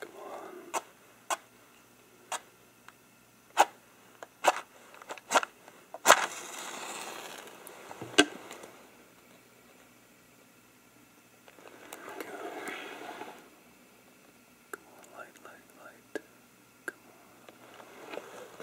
Come on. Okay. Come on, light, light, light. Come on.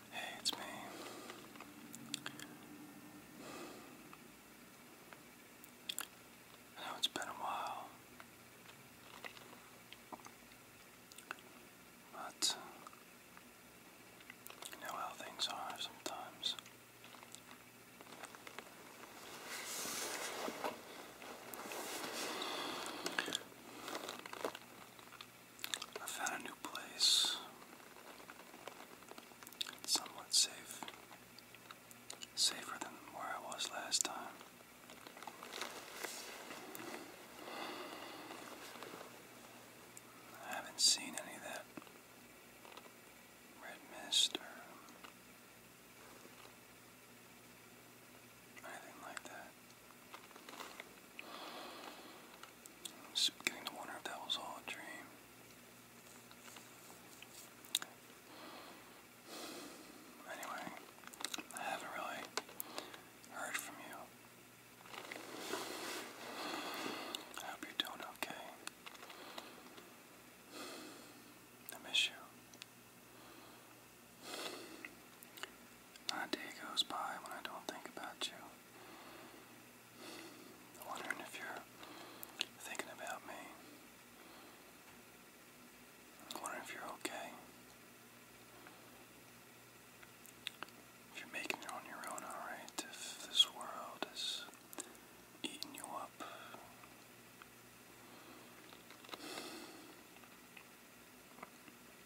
Hey, it's me. I know it's been a while, but you know how things are sometimes. I found a new place. somewhat safe. Safer than where I was last time. I haven't seen any of that red mist or anything like that. Just beginning to wonder if that was all a dream. Anyway, I haven't really heard from you. I hope you're doing okay. I miss you. My day goes by when I don't think about you. wondering if you're thinking about me. wondering if you're okay. If you're making it on your own, alright. If this world is eating you up.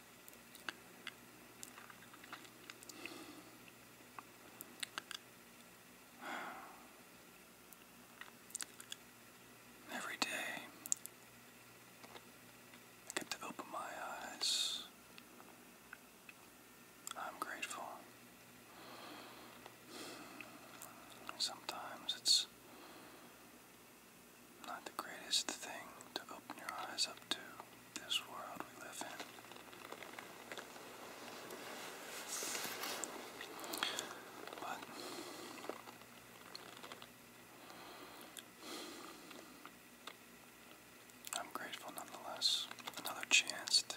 Every day, I get to open my eyes. I'm grateful. Sometimes it's not the greatest thing to open your eyes up to this world we live in. But I'm grateful nonetheless. Another chance to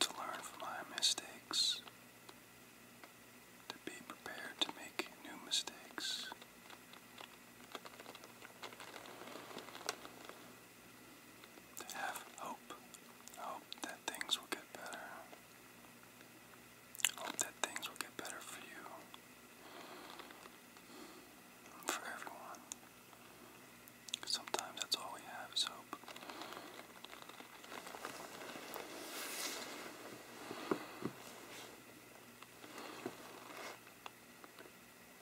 to learn from my mistakes to be prepared to make new mistakes. To have hope. Hope that things will get better. Hope that things will get better for you. for everyone. Sometimes that's all we have is hope.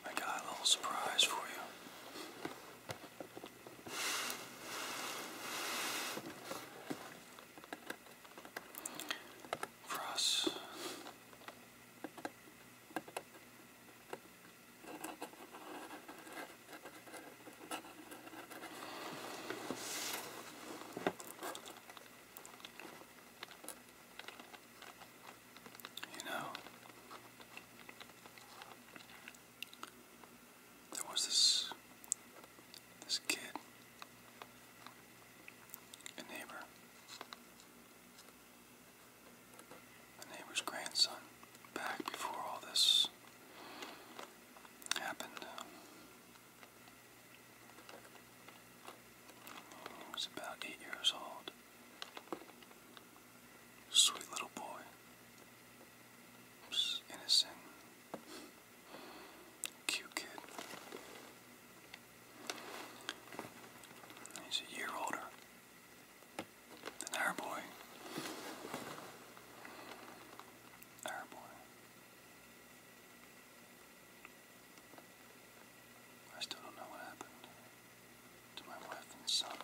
I got a little surprise for you. For you know, there was this this kid, a neighbor, a neighbor's grandson, back before all this happened. He oh, was about eight years old. Sweet little boy. Just innocent. Cute kid. He's a year older than our boy. Our boy. I still don't know what happened to my wife and son.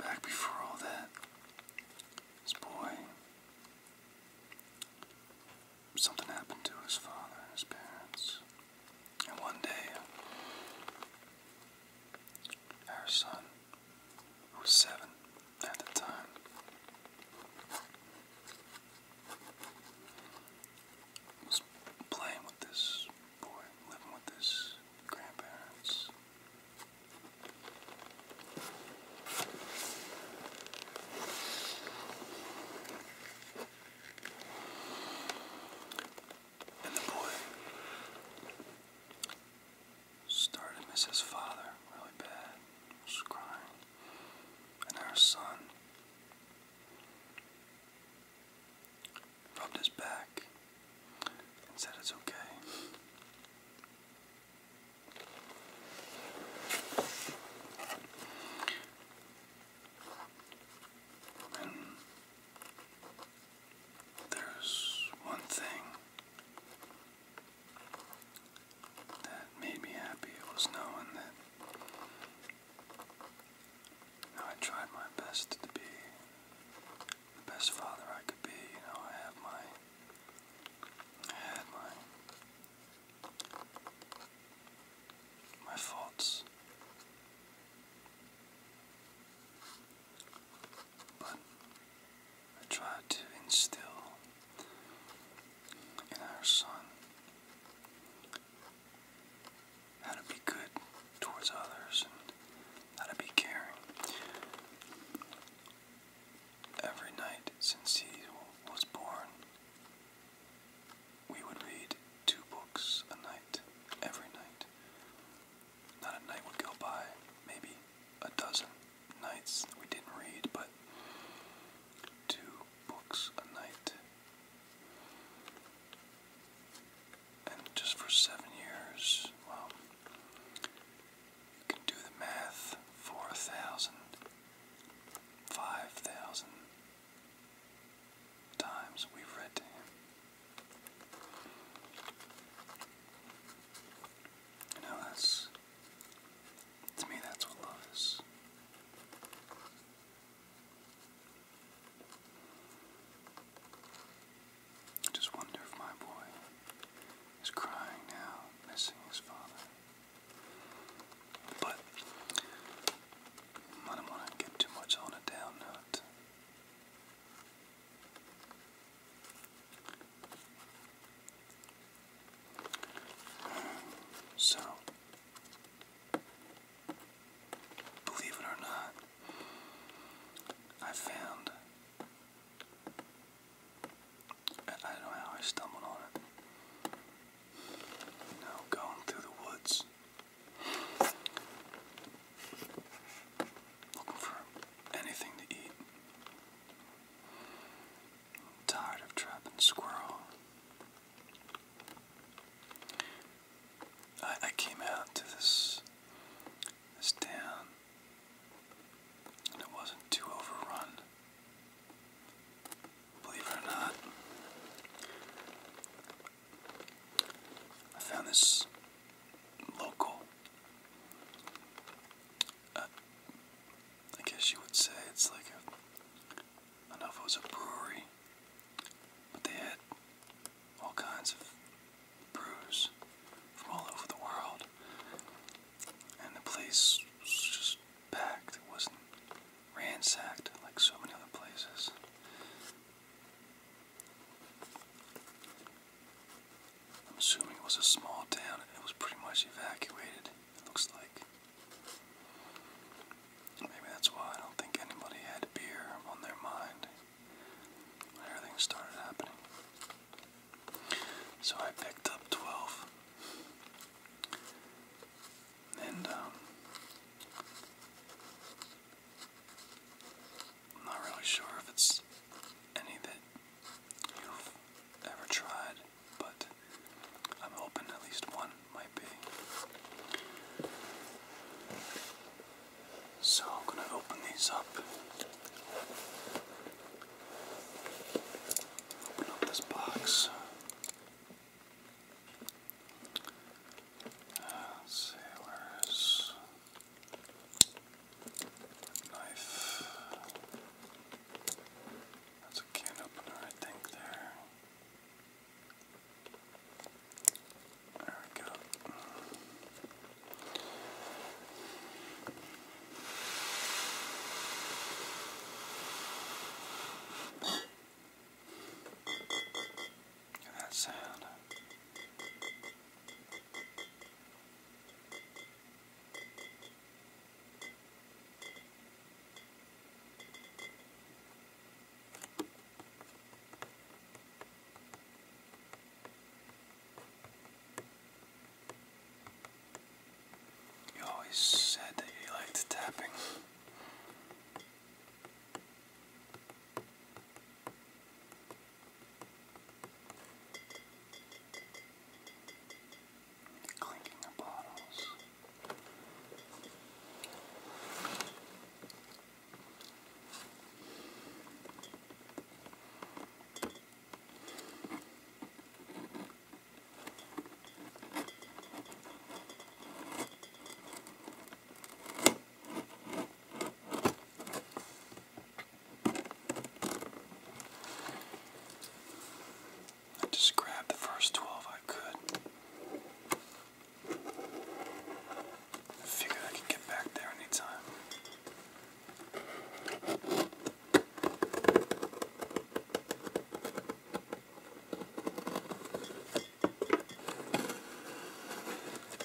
Back before all that, this boy, something happened to his father and his parents. And one day, our son, who was seven at the time. Was playing with this boy, living with his grandparents. And the boy started to father really bad, was crying. And our son rubbed his back and said it's okay. There's one thing that made me happy. It was knowing that I tried my best to be the best father I could be. You know, I have my, I had my, my faults. But I tried to instill in our son how to be good towards others and how to be caring. Every night since he was born, we would read two books a night, every night. Not a night would go by, maybe a dozen nights we didn't read, but two books a night. And just for seven years, well, you can do the math four thousand, five thousand, times we've read to him. You know, that's, to me, that's what love is. I just wonder if my boy is crying now, missing his father. But I don't want to get too much on a down note. So, believe it or not, I found. I don't know how I stumbled on it. You know, going through the woods Looking for anything to eat. i tired of trapping squirrel. I came out to this this town and it wasn't too overrun. Believe it or not. I found this local. Uh, I guess you would say it's like a. I don't know if it was a brewery, but they had all kinds of brews from all over the world, and the place just packed. It wasn't ransacked like so many other places. I'm assuming it was a small town and it was pretty much evacuated, it looks like. maybe that's why I don't think anybody had beer on their mind when everything started happening. So I picked up 12. And, um, I'm not really sure if it's any that you've ever tried, but I'm open. at least one might be. So I'm gonna open these up. Open up this box. Uh, let's see, where is Knife. That's a can opener, I think, there. There we go that sound. You always said that you liked tapping. Clinking the bottles. I just grabbed the first 12 I could. figured I could get back there anytime.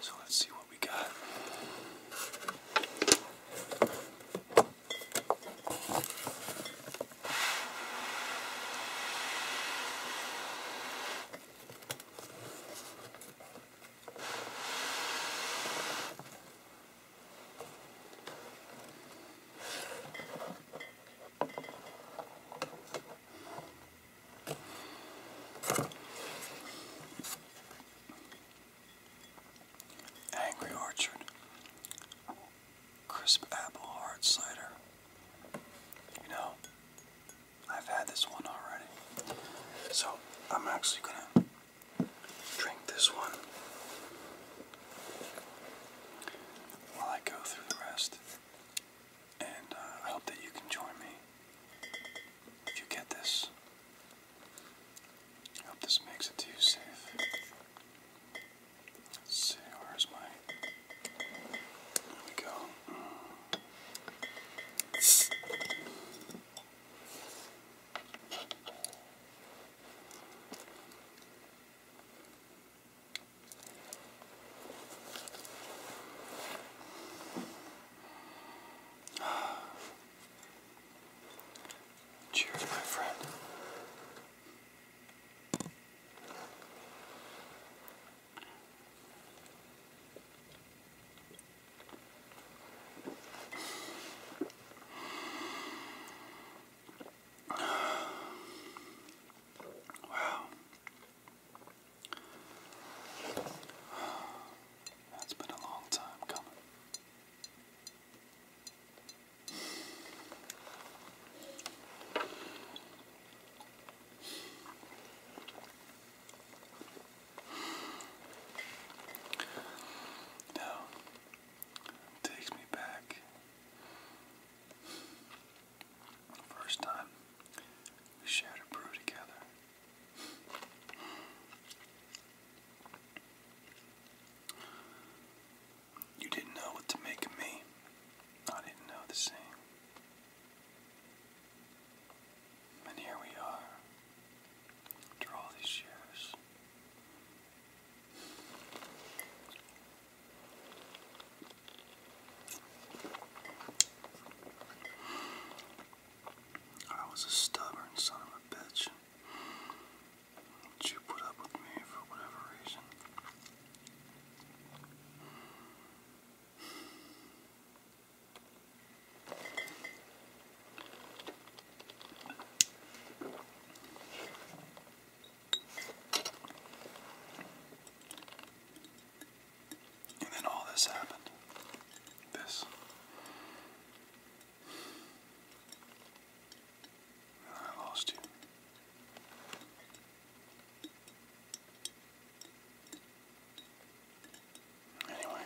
So let's see what we got. Angry Orchard Crisp Apple Hard Cider. You know, I've had this one already. So I'm actually going to drink this one while I go through the rest. And uh, I hope that you can join me if you get this. I hope this makes it to you safe. see, where's my. There we go. Cheers, my friend. Wow. That's been a long time coming. Now, takes me back the first time we shared a brew together. You didn't know what to make of me. I didn't know the same. And here we are, after all these years, I was a stubborn son of a bitch. you put up with me for whatever reason. And then all this happened. This. I lost you. Anyway,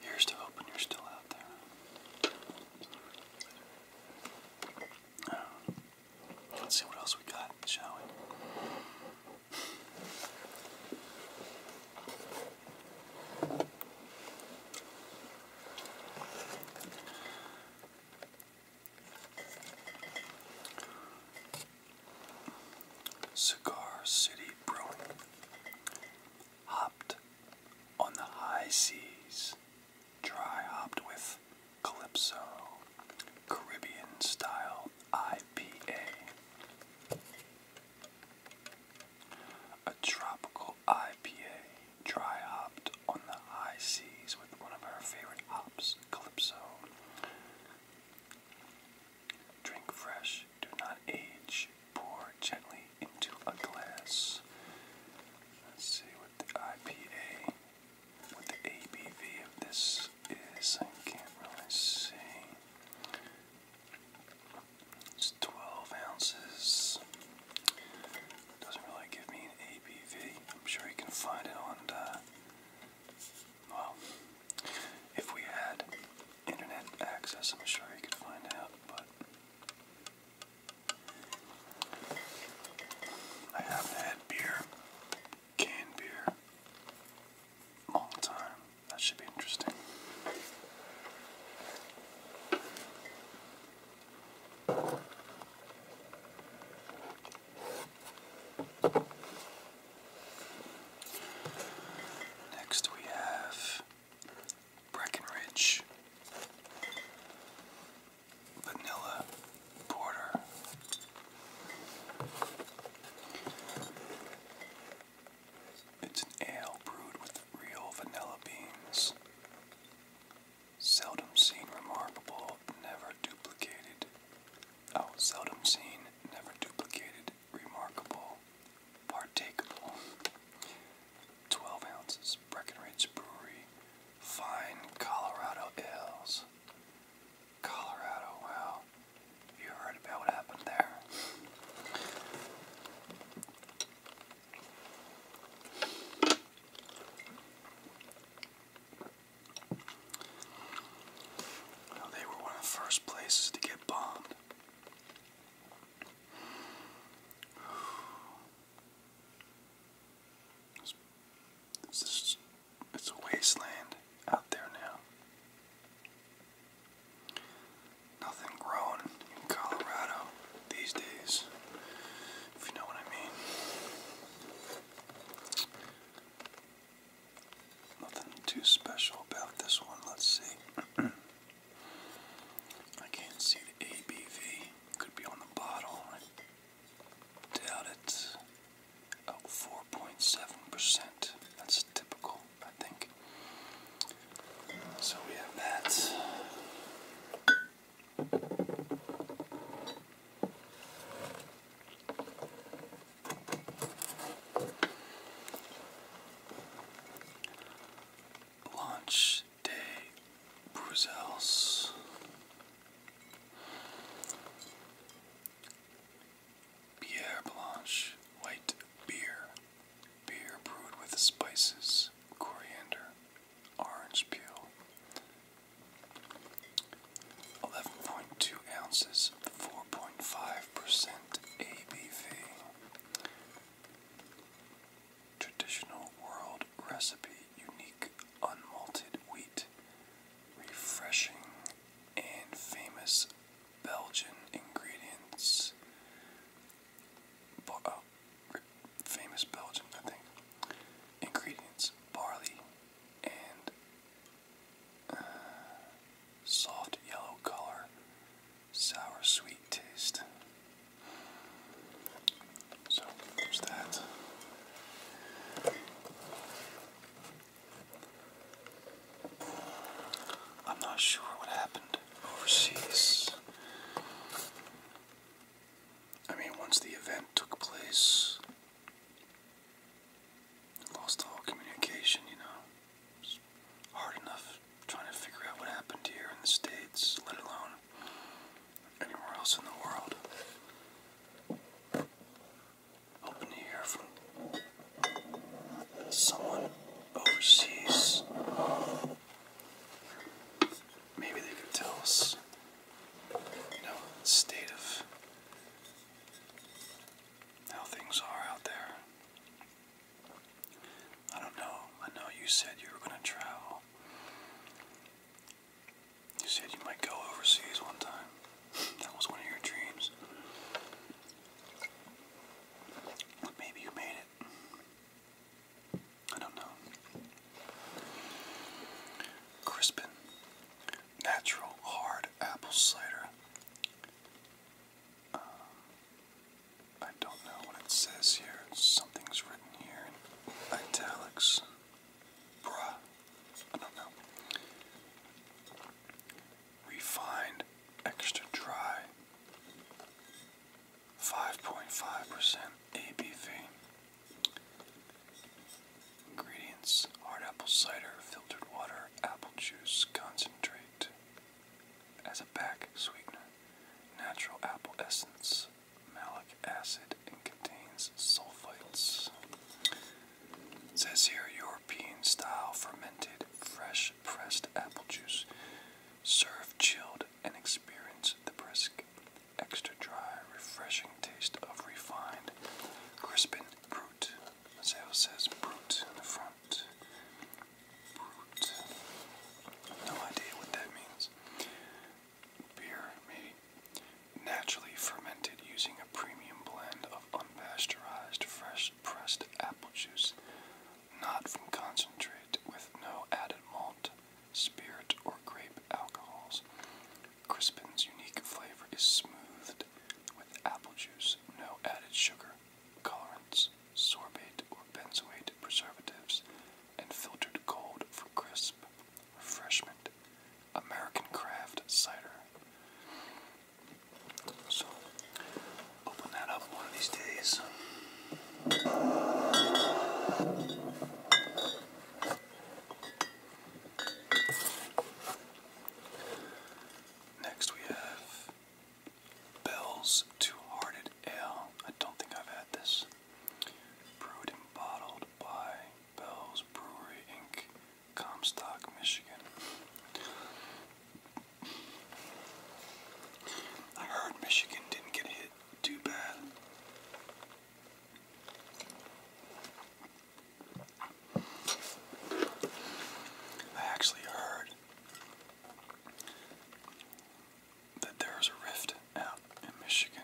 here's to hoping you're still out there. Let's see what else we got, shall we? Cigar City Brewing hopped on the high seas, dry hopped with Calypso, Caribbean style IPA. A tropical IPA, dry hopped on the high seas with one of our favorite hops, Calypso. Drink fresh, do not age, pour gently into a glass. Let's see what the IPA, what the ABV of this is. I can't really see. It's 12 ounces. Doesn't really give me an ABV. I'm sure you can find it on, uh, well, if we had internet access, I'm sure you could find out, but I haven't had beer, canned beer, all the time. That should be interesting. Next we have Breckenridge, Vanilla Porter. It's an ale brewed with real vanilla beans. Seldom seen, remarkable, never duplicated. Oh, seldom seen, never duplicated, remarkable, partakeable. 12 ounces. Breckenridge Brewery Fine Colorado Ales. Colorado, wow. You heard about what happened there. they were one of the first places to get bombed. It's, it's, it's a wasteland out there now. Nothing growing in Colorado these days, if you know what I mean. Nothing too special about this one, let's see. I can't see the ABV. Could be on the bottle. I doubt it. Oh, 4.7%. That's typical, I think. So we have that. Launch de Bruxelles. Pierre Blanche White Beer. Beer brewed with spices, coriander, orange peel. 11.2 ounces, 4.5% ABV. Traditional world recipe, unique unmalted wheat, refreshing and famous Belgian ingredients. Uh, famous Belgian, I think. Ingredients barley and uh, soft yellow color, sour sweet taste. So there's that. I'm not sure what happened overseas. I mean, once the event took place, lost all communication, you know. hard enough trying to figure out what happened here in the States, let alone anywhere else in the world. Hoping to hear from someone overseas. Maybe they could tell us, you know, state of how things are out there. I don't know. I know you said you were going to travel. You said you might go overseas one time. That was one of your dreams. Maybe you made it. I don't know. Crispin. Natural hard apple cider. Um, I don't know what it says here. Something's written here in italics. Bruh. I don't know. Refined, extra dry. 5.5% ABV. Ingredients hard apple cider, filtered water, apple juice, concentrate. As a back sweetener natural apple essence, malic acid, and contains sulfites. It says here European style fermented, fresh pressed apple juice. Serve chilled and experience the brisk, extra dry, refreshing taste of refined Crispin Brut. let says Brut in the front. Boot. No idea what that means. Beer, maybe. Naturally fermented using a premium blend of unpasteurized, fresh pressed apple juice, not from concentrate, with no added malt, spirit, or grape alcohols. Crispin's unique flavor is smoothed with apple juice, no added sugar colorants, sorbate or benzoate preservatives, and filtered cold for crisp refreshment. American craft cider. So, open that up one of these days. Next, we have Bell's Two Hearted Ale. I don't think I've had this. Brewed and bottled by Bell's Brewery Inc., Comstock, Michigan. I heard Michigan didn't get hit too bad. I actually heard that there is a rift out in Michigan.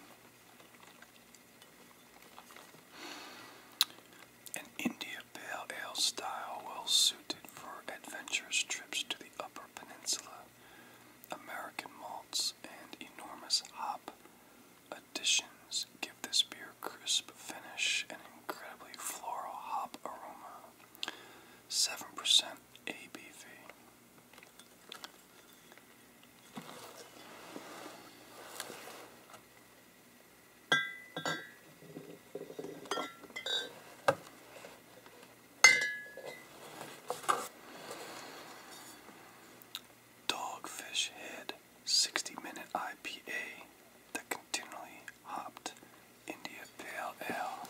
An India Pale Ale style well suited for adventurous trips to the Upper Peninsula, American malts, and enormous hop additions give this beer crisp finish and incredibly floral hop aroma. 7% ABV. Dogfish Head 60 Minute IPA that continually hopped India Pale Ale.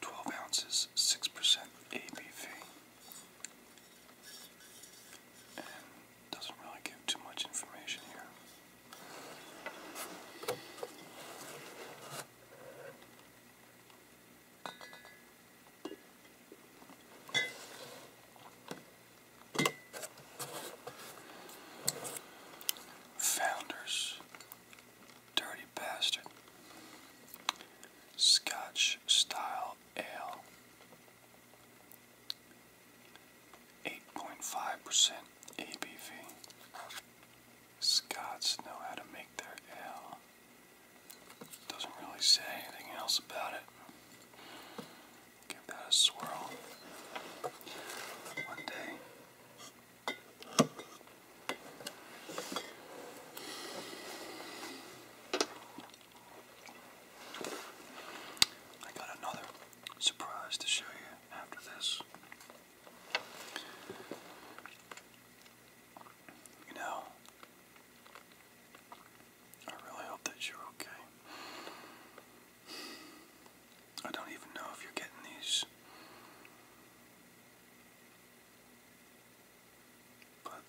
12 ounces, 6% ABV. doesn't really give too much information here. Founders, Dirty Bastard, Scotch Style Ale, 8.5% ABV. Scots know how to make their ale. Doesn't really say anything else about it. Give that a swirl. One day, I got another surprise to show you after this. You know, I really hope that you're okay. I don't even know if you're getting these. But,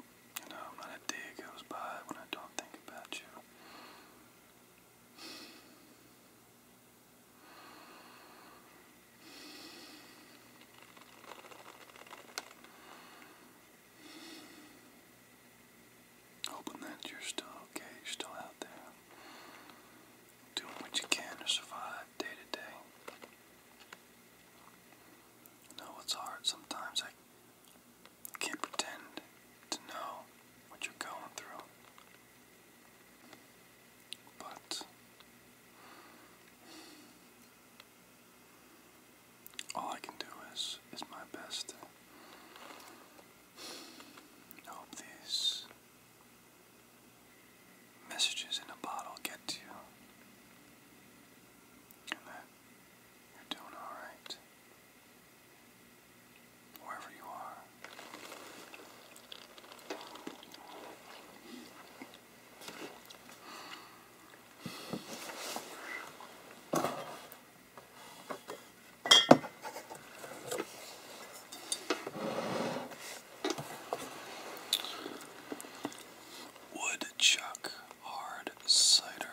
you know, not a day goes by when I don't think about you. Hoping that you're still okay, you're still out there doing what you can to survive day to day. I know it's hard sometimes. I can't pretend to know what you're going through. But all I can do is is my best. hope these messages in a bottle get to you, and that you're doing alright. Wherever you are. Woodchuck hard cider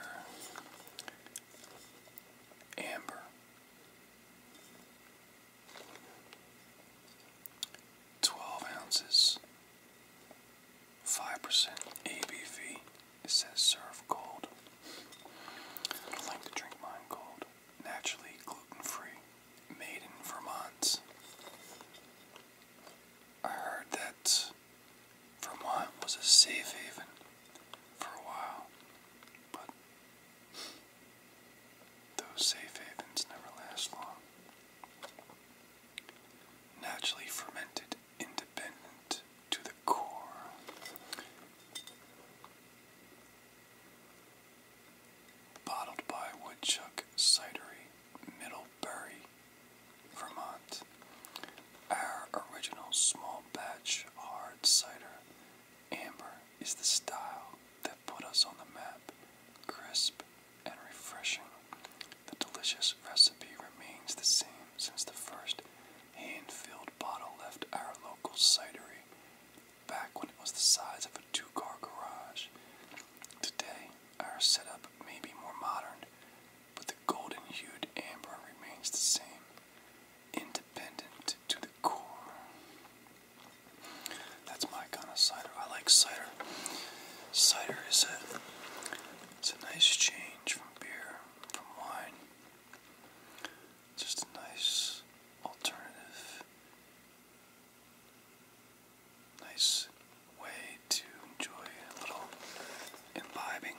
amber twelve ounces five percent ABV. It says serve cold. I don't like to drink mine cold naturally gluten-free, made in Vermonts. I heard that Vermont was a safe haven for a while, but those safe havens never last long. Naturally fermented, independent to the core. Bottled by Woodchuck Cidery, Middlebury, Vermont. Our original small batch hard cider, amber, is the style that put us on the map. Crisp and refreshing. The delicious recipe remains the same since the first hand filled bottle left our local cidery back when it was the size of a two car garage. Today, our setup may be more modern, but the golden hued amber remains the same, independent to the core. That's my kind of cider. I like cider. Cider is a, it's a nice change from beer, from wine. Just a nice alternative, nice way to enjoy a little imbibing.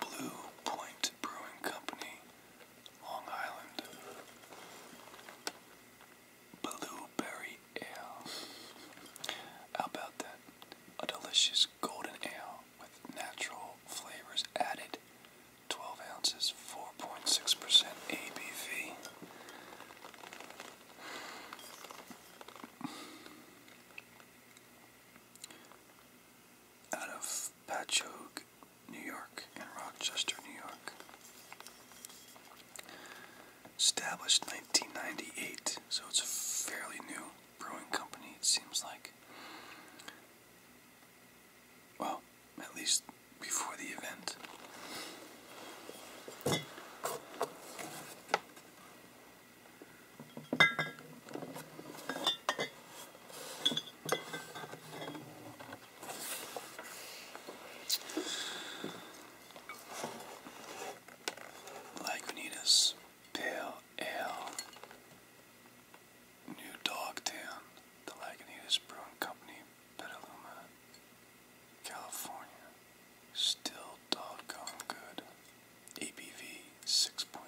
Blue Point Brewing Company, Long Island. Blueberry Ale. How about that? A delicious golden ale with natural flavors added. 12 ounces, 4.6% ABV out of Patchogue, New York, and Rochester, New York. Established 1998, so it's a fairly new brewing company, it seems like. Well, at least before the event. Lagunitas Pale Ale, New Dogtown, the Lagunitas Brewing Company, Petaluma, California. Still doggone good. ABV 6.2%.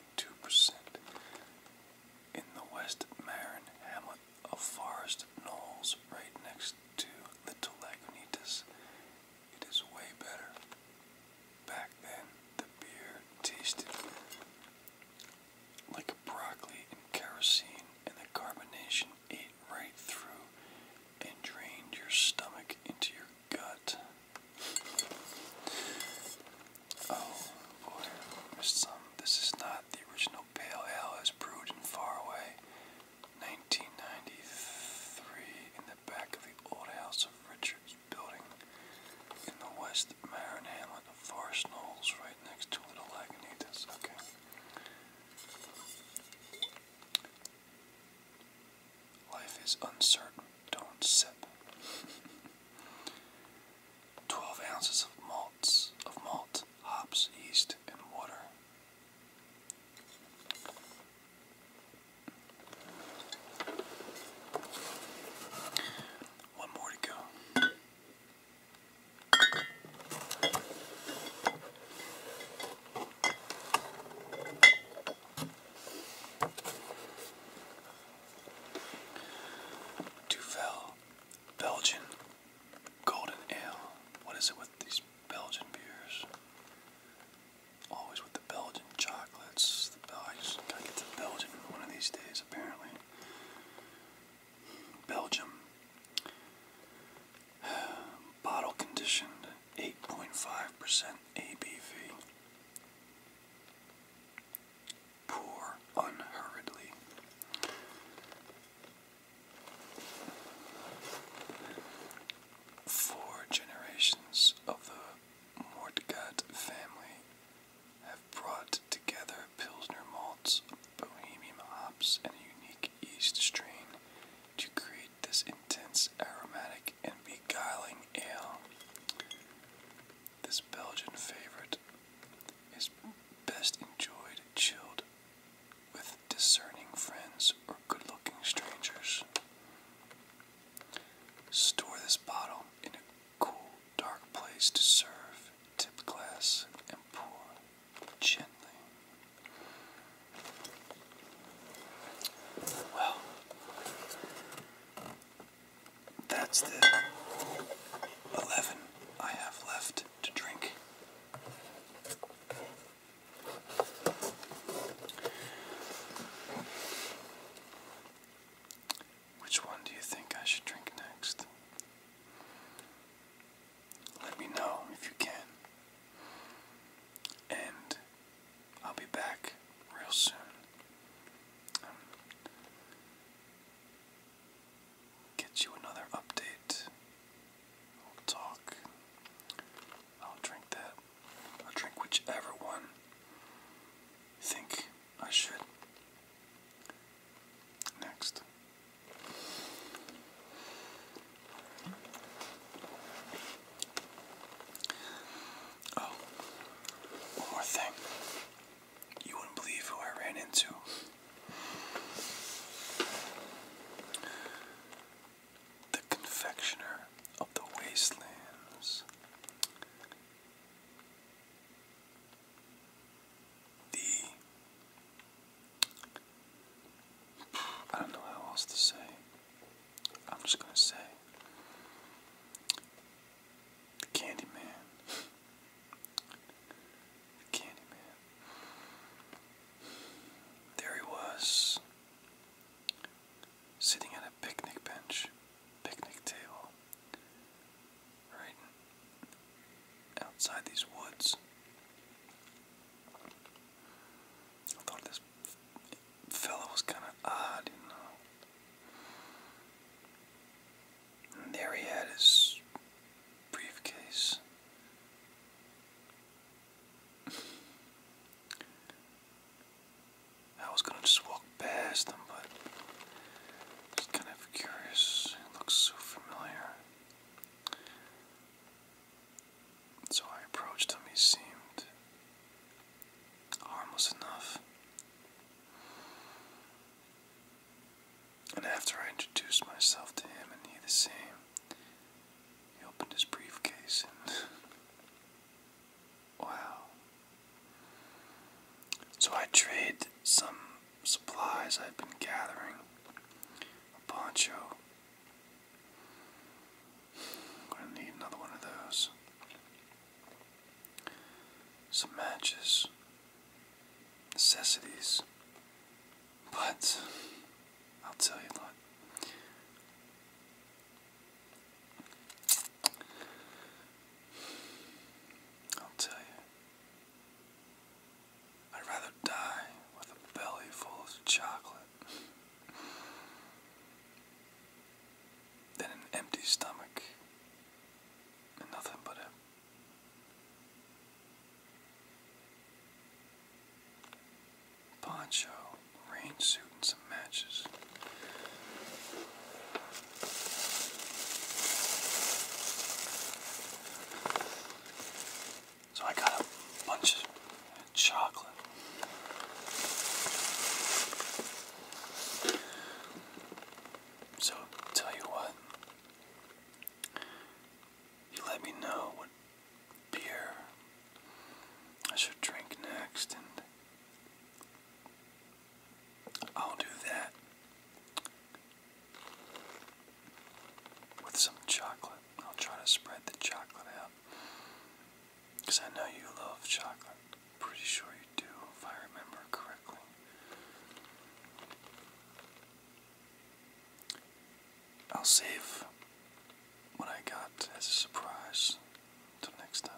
In the West Marin hamlet of Forest Knolls, right next to Little Lagunitas, it is way better. Back then, the beer tasted like broccoli and kerosene, and the carbonation ate right through and drained your stomach into your gut. Oh, boy, missed This is not the original Pale Ale as brewed in Faraway, 1993, in the back of the old house of Richards building in the West Marin Hamlet of Forest Knolls, right next to Little Lagunitas. Okay. Life is uncertain. Don't sip. Twelve ounces of malts of malt, hops, yeast, and water. One more to go. Duvel, Belgian Golden Ale. What is it with these Belgian beers? Always with the Belgian chocolates. The Bel I just gotta get to Belgium one of these days, apparently. Belgium. Bottle conditioned 8.5% ABV. Pour unhurriedly. Four generations of the Mortgat family have brought together Pilsner malts, Bohemian hops, and a unique yeast strain to create this intense, aromatic, and beguiling ale. This Belgian favorite is best enjoyed chilled with discerning friends or good looking strangers. Store this bottle in a cool, dark place to serve, tip glass, and pour gently. Well, that's the 11 I have left to drink. Which one do you think I should drink next? Let me know if you can. And I'll be back real soon. Um, get you another update. We'll talk. I'll drink that. I'll drink whichever one think I should. Next. Oh, one more thing. You wouldn't believe who I ran into. The confectioner of the wastelands. The. I don't know how else to say. I'm just gonna say the Candyman. The Candyman. There he was, sitting at a picnic bench, picnic table, right outside these woods. I thought this fella was kind of odd, you know. And there he had his briefcase. I was gonna just walk past him, but I kind of curious. looks so familiar. So I approached him. He seemed harmless enough. And after I introduced myself to him and he the same, he opened his briefcase and. wow. So I traded some supplies i have been gathering a poncho, I'm going to need another one of those. Some matches, necessities, but I'll tell you what. I'll tell you. I'd rather die with a belly full of chocolate then an empty stomach and nothing but a poncho, rain suit, and some matches. So I got a bunch chocolate. So, tell you what, you let me know what beer I should drink next, and I'll do that with some chocolate. I'll try to spread the chocolate out. Because I know you love chocolate. Pretty sure you do, if I remember correctly. I'll save what I got as a surprise till next time.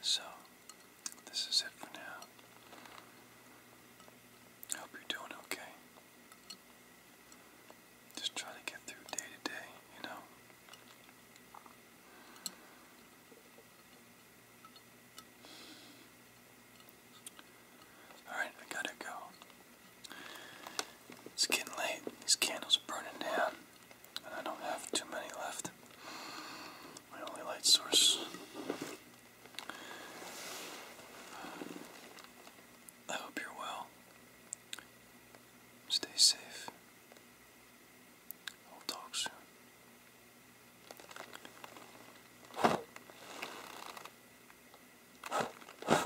So, this is it for now. I hope you're doing okay. Just try to get through day to day, you know. Alright, I gotta go. It's getting late. These candles are burning down, and I don't have too many left. My only light source. I hope you're well. Stay safe. We'll talk soon.